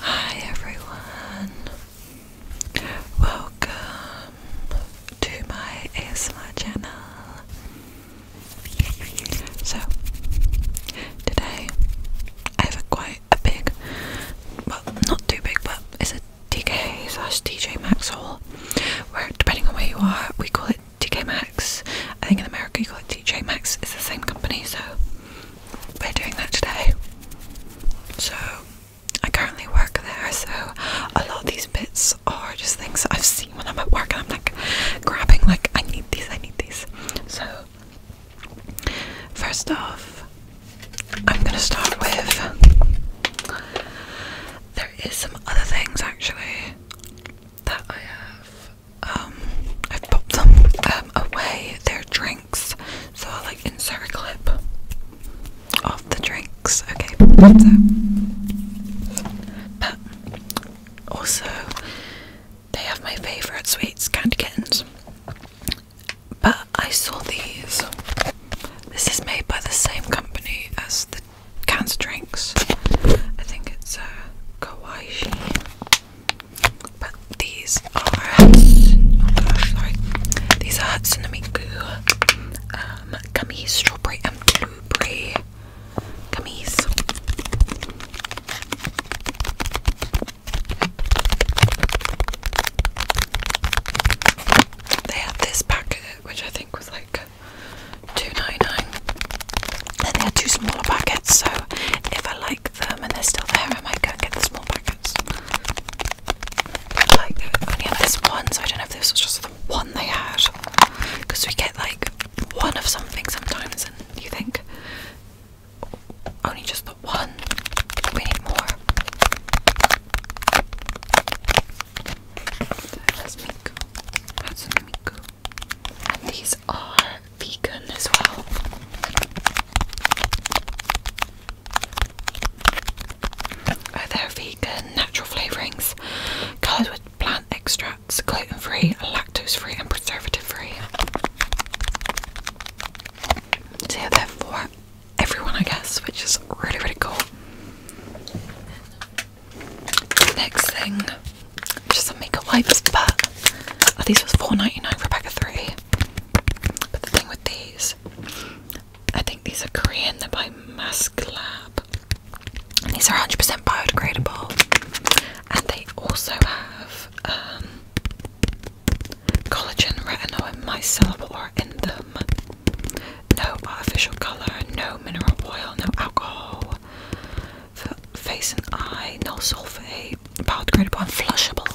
Hi everyone, welcome to my ASMR channel. So, today I have a quite a big, well, not too big, but it's a DK slash DJ Max haul where, depending on where you are, we call it DK Max. I think in America you call it DJ Max, it's the same company, so we're doing that today. So I currently work there, so a lot of these bits are just things that I've seen when I'm at work and I'm like grabbing like I need these, I need these. So first off I'm gonna start with there is some other things actually that I have um, I've popped them um, away, they drinks, so I'll like insert a clip of the drinks, okay, but also they have my favourite sweets, candy kittens, but I saw these, this is made by the same company as the cans drinks, I think it's a uh, but these are Hudson. Oh gosh, sorry. These are Hudson Amigo um, gummies, strawberry and blueberry gummies. They had this packet, which I think was like 2.99. Then they had two smaller packets, so if I like them and they're still there, I might go and get the small packets. Like only have this one, so I don't know if this was just the one they had. Because we get like one of something sometimes, and you think only just the one. We need more. That's Miko. That's Miko. And these are vegan as well. Oh, they're vegan, natural flavourings, coloured with plant extracts, gluten free, lactose free, and preservative free. So, they're for everyone, I guess, which is really, really cool. Next thing, which is some makeup wipes, but oh, these was $4.99 for a pack of three. But the thing with these, I think these are Korean, they're by Mask Lab. these are 100% biodegradable. And they also have um, collagen, retinol, and micellar water in them. No artificial colour, no mineral oil, no alcohol face and eye, no solvate, about credible, and flushable.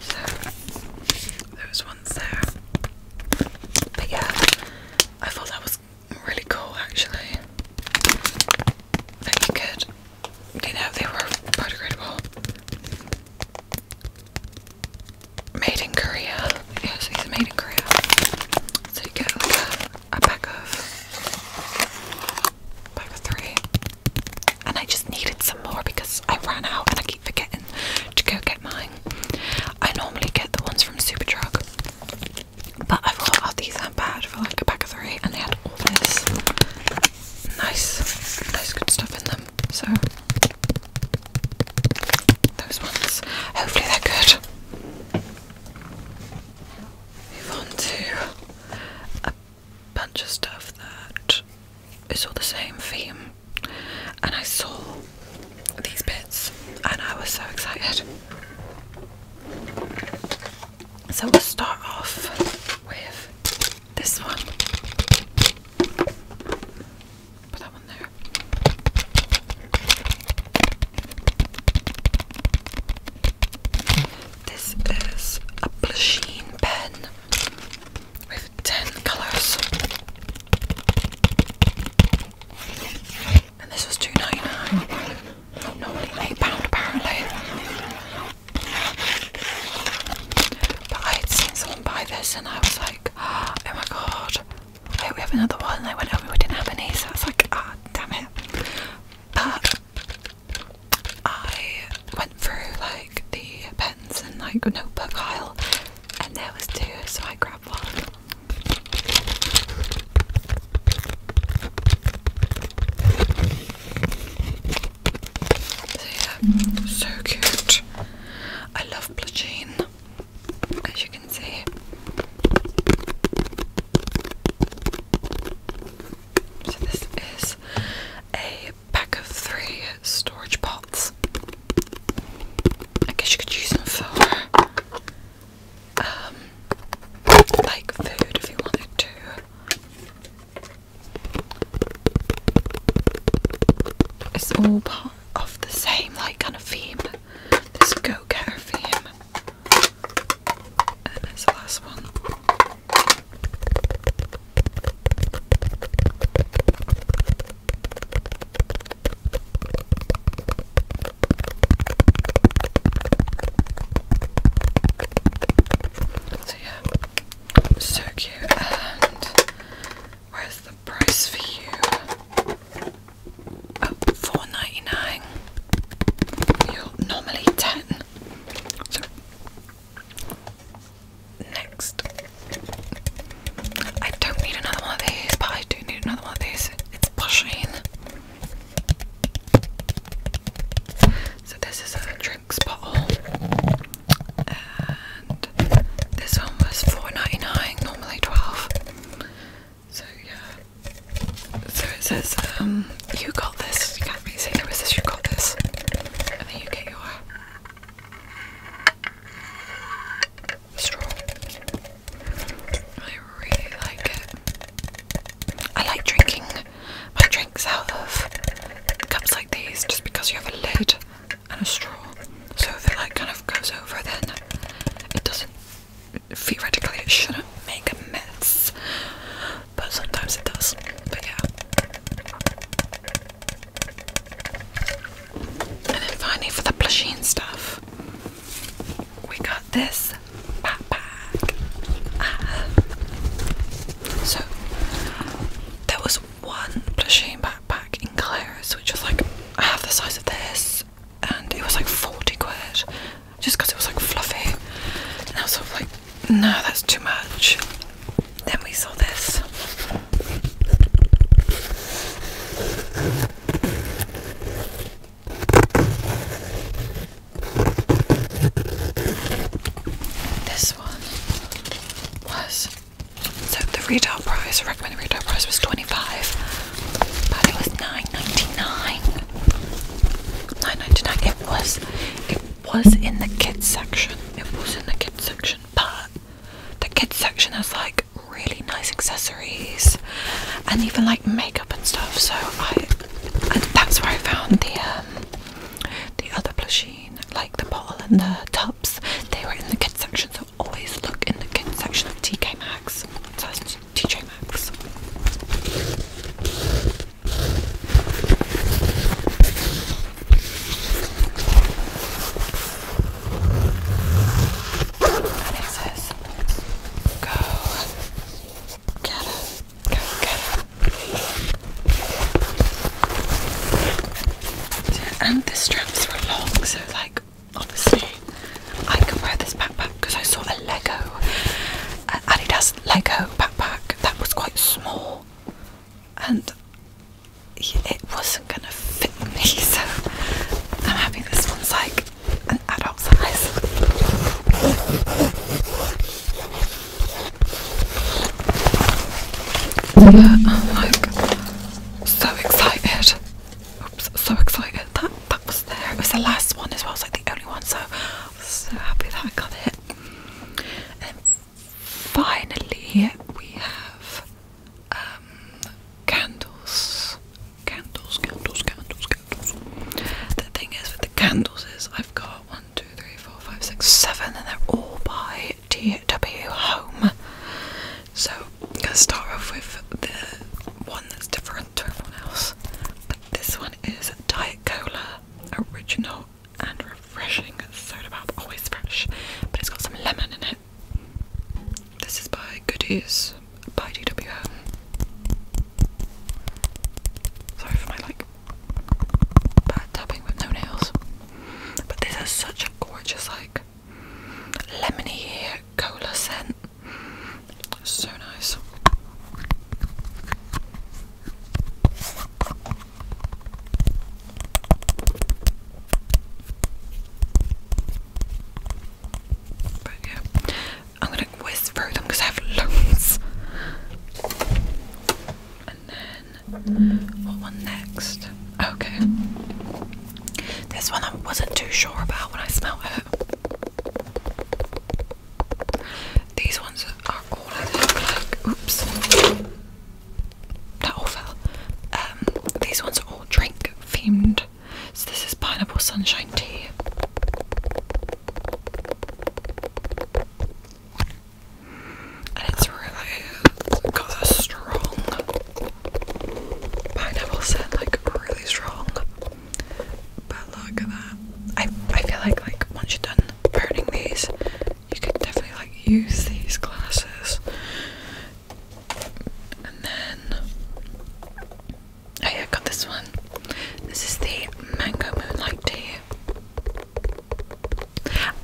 So, those ones there. But yeah, I thought that was really cool actually. That you you know, they were biodegradable. Made in Korea. Yes, these are made in Korea. So you get a, pack of pack of three. And I just needed some more because I ran out and I keep forgetting to go get mine. I normally get the ones from Superdrug. But I thought, oh, these are bad for like a pack of three, and they had all this nice, nice good stuff in them. So those ones, hopefully they're good. Move on to a bunch of stuff that is all the same theme, and I saw these bits, and I was so excited. So we'll start off with this one. Put that one there. This is a Blachine pen with 10 colours. And this was 2.99 normally £8 apparently. But I had seen someone buy this and I was like, oh my god, wait, we have another one. And they went, oh, we didn't have any. So it's like, ah, damn it. But I went through like the pens and like notebook aisle and there was two, so I grabbed one yeah, so cute. I love Plagine, as you can see. So this is a pack of three storage pots. I guess you could use them for um, like food if you wanted to. It's all part of the same like kind of theme. This go-getter theme. And it's the last one. So yeah, so cute. And where's the price for you? Oh, four ninety nine. You're normally ten. So next, I don't need another one of these, but I do need another one of these. It's Pusheen. So this is a drinks bottle, and this one was four ninety nine, normally twelve. So yeah. So it says, um, you got this. You can't really say it says you got this, and then you get your straw. I really like it. I like drinking my drinks out of cups like these just because you have a lid and a straw. So if it like kind of goes over then it doesn't theoretically it shouldn't make a mess. But sometimes it does. But yeah. And then finally for the plushine stuff we got this backpack. Ah. so there was one plushine backpack in Claire's, which was like half the size of this, and it was like 40 quid just because it was like fluffy. And I was like, no, that's too much. Then we saw this. This one was so the retail price, recommended retail price was 25, but it was 9.99. 9.99. It was it was in the kids section. It was in the kids section, but the kids section has like really nice accessories and even like makeup and stuff. So I, that's where I found the um, the other plushine, like the bottle and the tubs. They were in the kids section, so always look in the kids section of TK Maxx. So that's TJ Maxx. And it Go get it. Go get it. And the straps were long, so like obviously I could wear this backpack because I saw a Lego, an Adidas Lego backpack that was quite small, and it wasn't gonna fit me. So I'm having this one's like adult size. Yeah, I'm so excited. Oops, so excited. That that was there. It was the last one as well, it's like the only one, so I was so happy that I got it. And finally we have um, candles. Candles, candles, candles, candles. The thing is with the candles is I've got one, two, three, four, five, six, seven, and they're all by DW Home. So I'm gonna start off with the one that's different to everyone else. But this one is Diet Cola original and refreshing soda pop, always fresh, but it's got some lemon in it. This is by Goodies by D W. Sorry for my like bad tapping with no nails. But this has such a gorgeous like lemony cola scent. So nice. But yeah, I'm gonna whiz through them because I have loads. And then what one next? Okay, this one I wasn't too sure about when I smelled it. These ones are all I like. Oops. That all fell. Um, these ones are all drink themed. So this is pineapple sunshine tea. And it's really got a strong pineapple scent, like really strong. But look at that. I I feel like like once you're done burning these, you could definitely like use these glasses and then oh yeah, I got this one. This is the mango moonlight tea.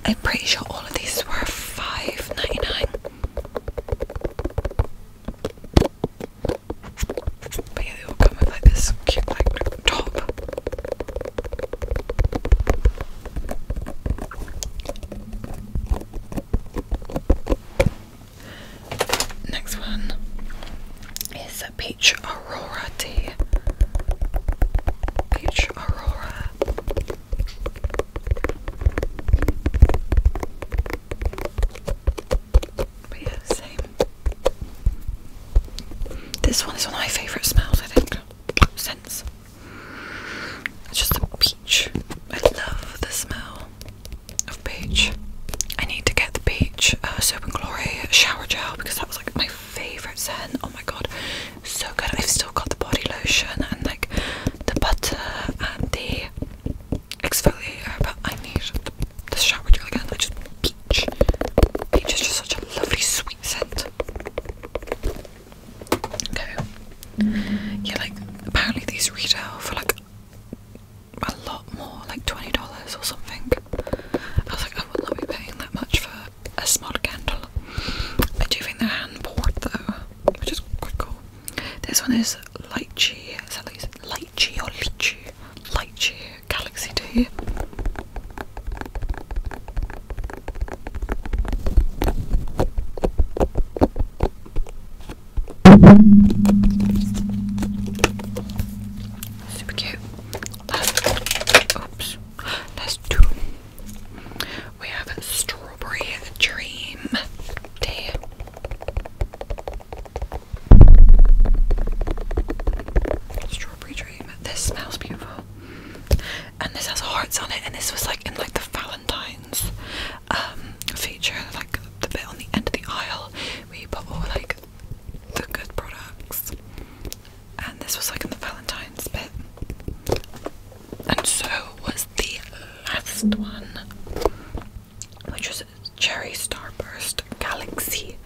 I'm pretty sure all of these were $5.99. But yeah, they all come with like this cute like top. Next one is a peach aurora tea. Peach aurora. But yeah, same. This one is one of my favourite smells, I think. Scents. It's just a peach. I love the smell of peach. I need to get the peach Oh, soap and glory shower gel because that was like my favorite scent. Oh my god, so good! I've still got the body lotion and like the butter and the exfoliator, but I need the shower gel again. I just peach. Peach is just such a lovely sweet scent go. Yeah, like apparently these retail for like a lot more, like twenty dollars or something. I was like, I oh, would not be paying that much for a small candle. I do think they're hand poured though, which is quite cool. This one is lychee. Is that these lychee or lychee? Lychee Galaxy Tea. Super cute. oops. Last two. We have strawberry dream tea. Strawberry dream. This smells beautiful and this has hearts on it and this was like in like the Valentine's um feature like the bit on the end of the aisle where you put all like the good products and this was like in the Valentine's bit and so was the last one which was Cherry Starburst Galaxy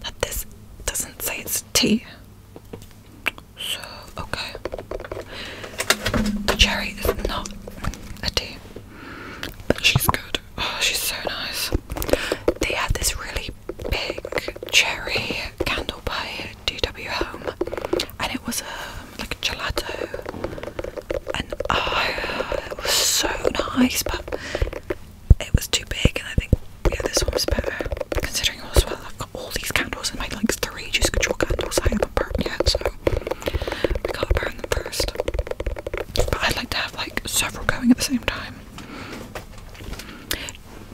that this doesn't say it's tea so, okay. The cherry is not a tea, but she's good. Oh, she's so nice. They had this really big cherry candle by DW Home, and it was um, like a gelato. And oh, it was so nice, but it was too big, and I think yeah, this one's better considering also I've got all these candles and my like three juice control candles I haven't burned yet, so to burn them first. But I'd like to have like several going at the same time.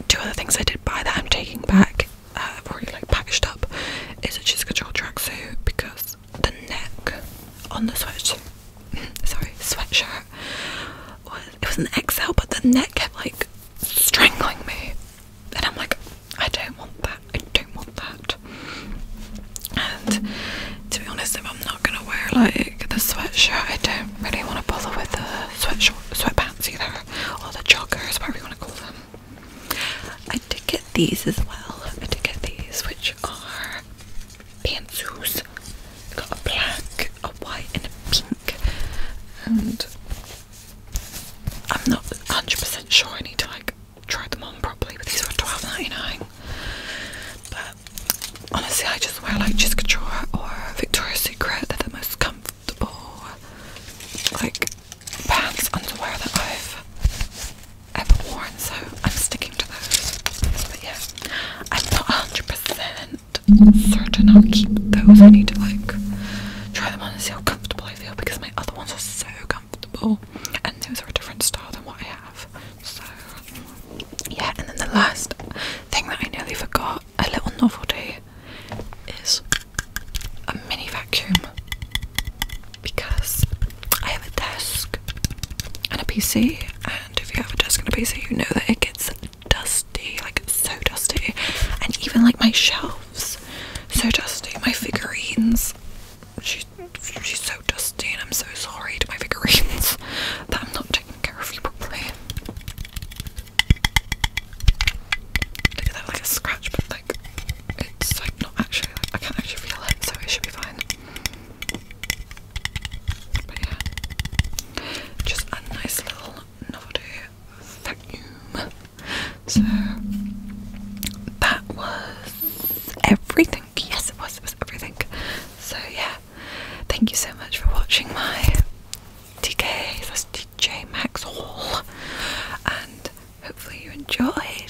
Two other things I did buy that I'm taking back, uh, I've already like packaged up, is a juice control suit because the neck on the sweatshirt, sorry, sweatshirt was it was an XL, but the neck kept like strangling me, and I'm like, I don't want that. I don't want that. And to be honest, if I'm not gonna wear like the sweatshirt, I don't really want to bother with the sweatshirt, sweatpants either, or the joggers, whatever you want to call them. I did get these as well. I did get these, which are pantsuits. Got a black, white and a pink, and I'm not 100% sure I need to like try them on properly. But these are 12.99. But honestly, I just wear like Just Couture or Victoria's Secret. They're the most comfortable like pants underwear that I've ever worn, so I'm sticking to those. But yeah, I'm not 100% certain I'll keep those. I need to like try them on and see how comfortable I feel because my other ones are so comfortable and those are a different style than what I have. So yeah, and then the last thing that I nearly forgot, a little novelty, is a mini vacuum because I have a desk and a PC and if you have a desk and a PC you know that it gets dusty, like so dusty, and even like my shelves, so dusty. My figurines, she's she's so dusty, and I'm so sorry to my figurines that I'm not taking care of you properly. Look at that, like a scratch, but like it's like not actually. Like, I can't actually feel it, so it should be fine just a nice little novelty vacuum. So that was everything. Yes, it was. It was everything. So yeah, thank you so much for watching my DK DJ Max haul, and hopefully you enjoyed.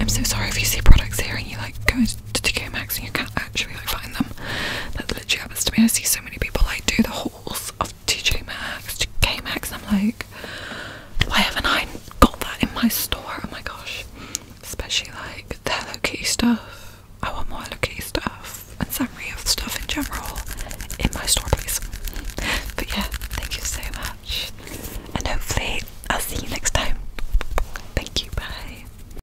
I'm so sorry if you see products here and you like go to DJ Max and you can't actually like find them literally happens to me. I see so many people like do the halls of TJ Maxx, K Maxx, I'm like, why haven't I got that in my store? Oh my gosh. Especially like the Hello Kitty stuff. I want more Hello Kitty stuff and Sanrio stuff in general in my store, please. But yeah, thank you so much. And hopefully, I'll see you next time. Thank you, bye.